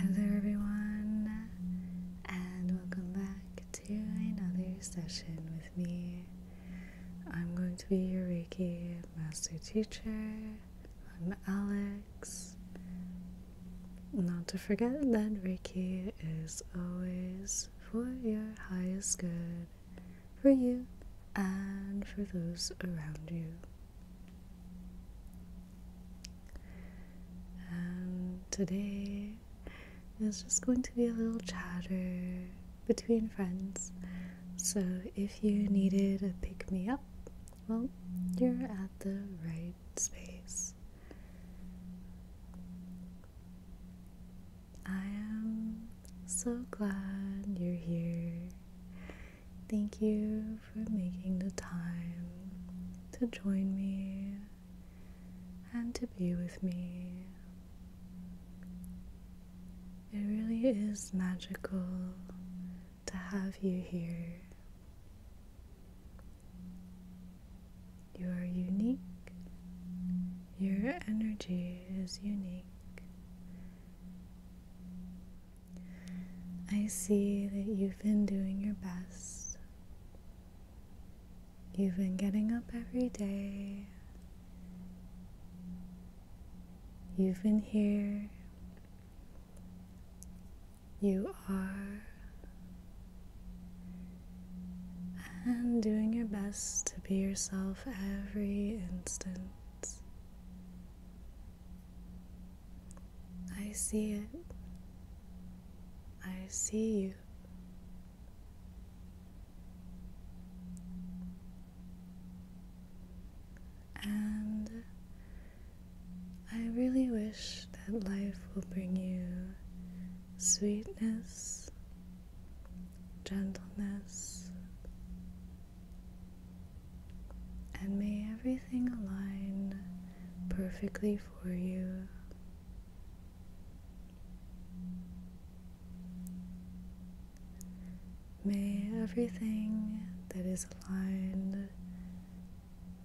Hello, everyone, and welcome back to another session with me. I'm going to be your Reiki Master Teacher. I'm Alex. Not to forget that Reiki is always for your highest good, for you and for those around you. And today is just going to be a little chatter between friends. So if you needed a pick me up, well, you're at the right space. I am so glad you're here. Thank you for making the time to join me and to be with me. It really is magical to have you here. You are unique. Your energy is unique. I see that you've been doing your best. You've been getting up every day. You've been here you are, and doing your best to be yourself every instant. I see it. I see you. And I really wish that life will bring you sweetness, gentleness, and may everything align perfectly for you. May everything that is aligned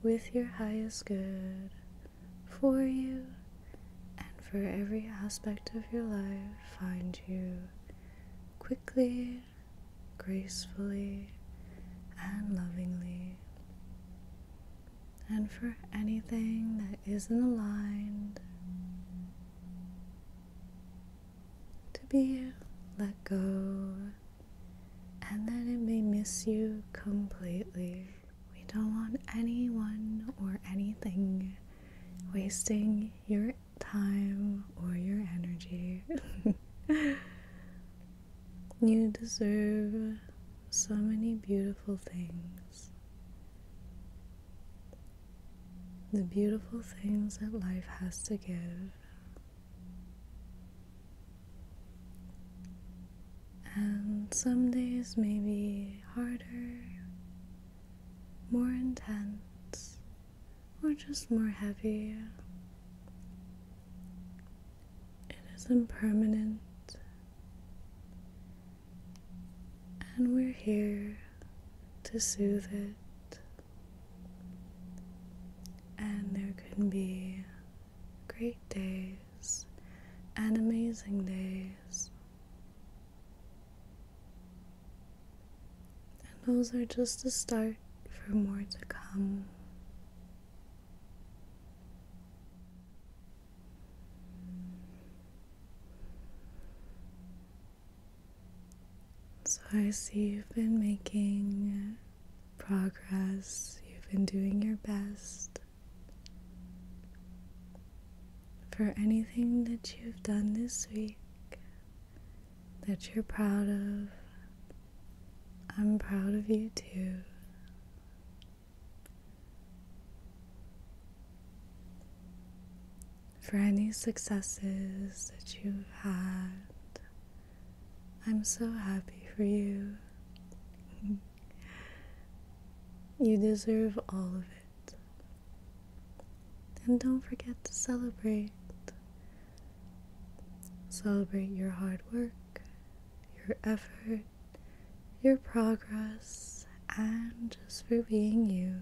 with your highest good for you and for every aspect of your life find you quickly, gracefully, and lovingly. And for anything that isn't aligned, to be let go, and then it may miss you completely. We don't want anyone or anything wasting your time or your energy. you deserve so many beautiful things. The beautiful things that life has to give. And some days may be harder, more intense, or just more heavy. It is impermanent, and we're here to soothe it. And there can be great days and amazing days. And those are just a start for more to come. So I see you've been making progress. You've been doing your best. For anything that you've done this week that you're proud of, I'm proud of you too. For any successes that you've had, I'm so happy for you. you deserve all of it. And don't forget to celebrate. Celebrate your hard work, your effort, your progress, and just for being you.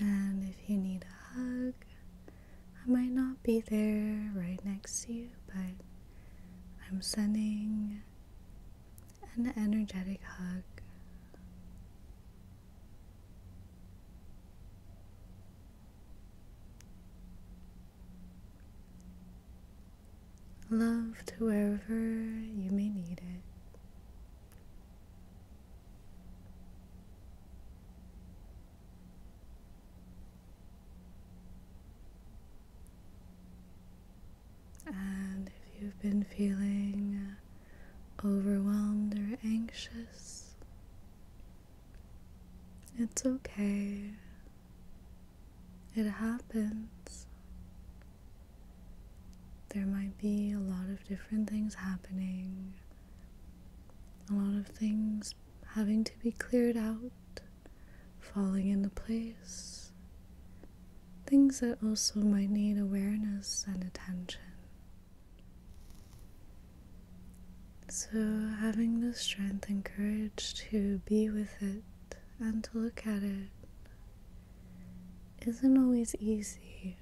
And if you need a hug, I might not be there right next to you, but I'm sending an energetic hug love to wherever you may need it. And if you've been feeling uh, overwhelmed or anxious, it's okay. It happens. There might be a lot of different things happening, a lot of things having to be cleared out falling into place. Things that also might need awareness and attention. So, having the strength and courage to be with it and to look at it isn't always easy,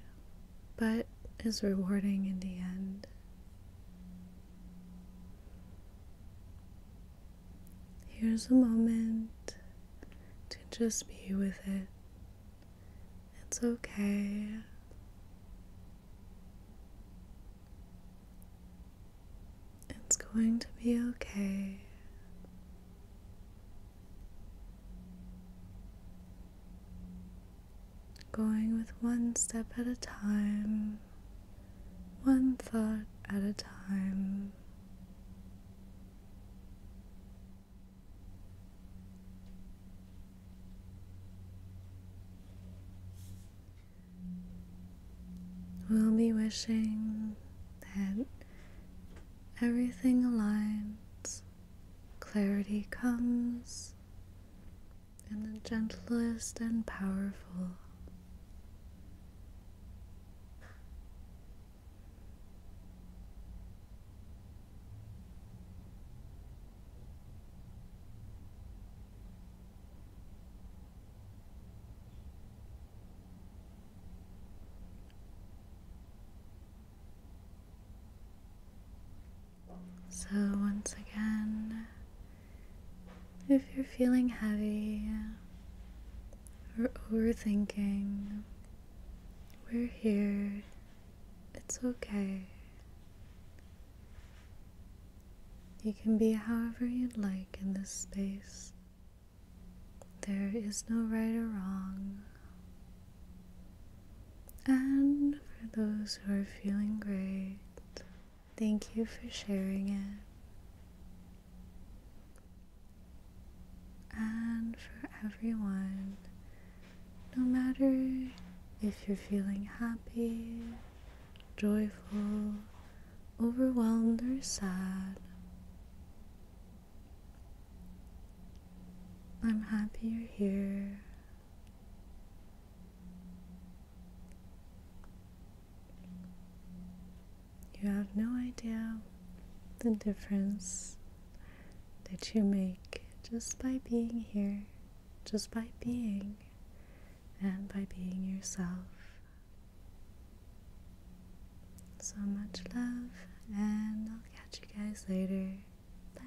but is rewarding in the end. Here's a moment to just be with it. It's okay. It's going to be okay. Going with one step at a time one thought at a time. We'll be wishing that everything aligns, clarity comes, and the gentlest and powerful. So, once again, if you're feeling heavy or overthinking, we're here. It's okay. You can be however you'd like in this space. There is no right or wrong. And for those who are feeling great, Thank you for sharing it. And for everyone, no matter if you're feeling happy, joyful, overwhelmed, or sad, I'm happy you're here. You have no idea the difference that you make just by being here, just by being, and by being yourself. So much love, and I'll catch you guys later. Bye.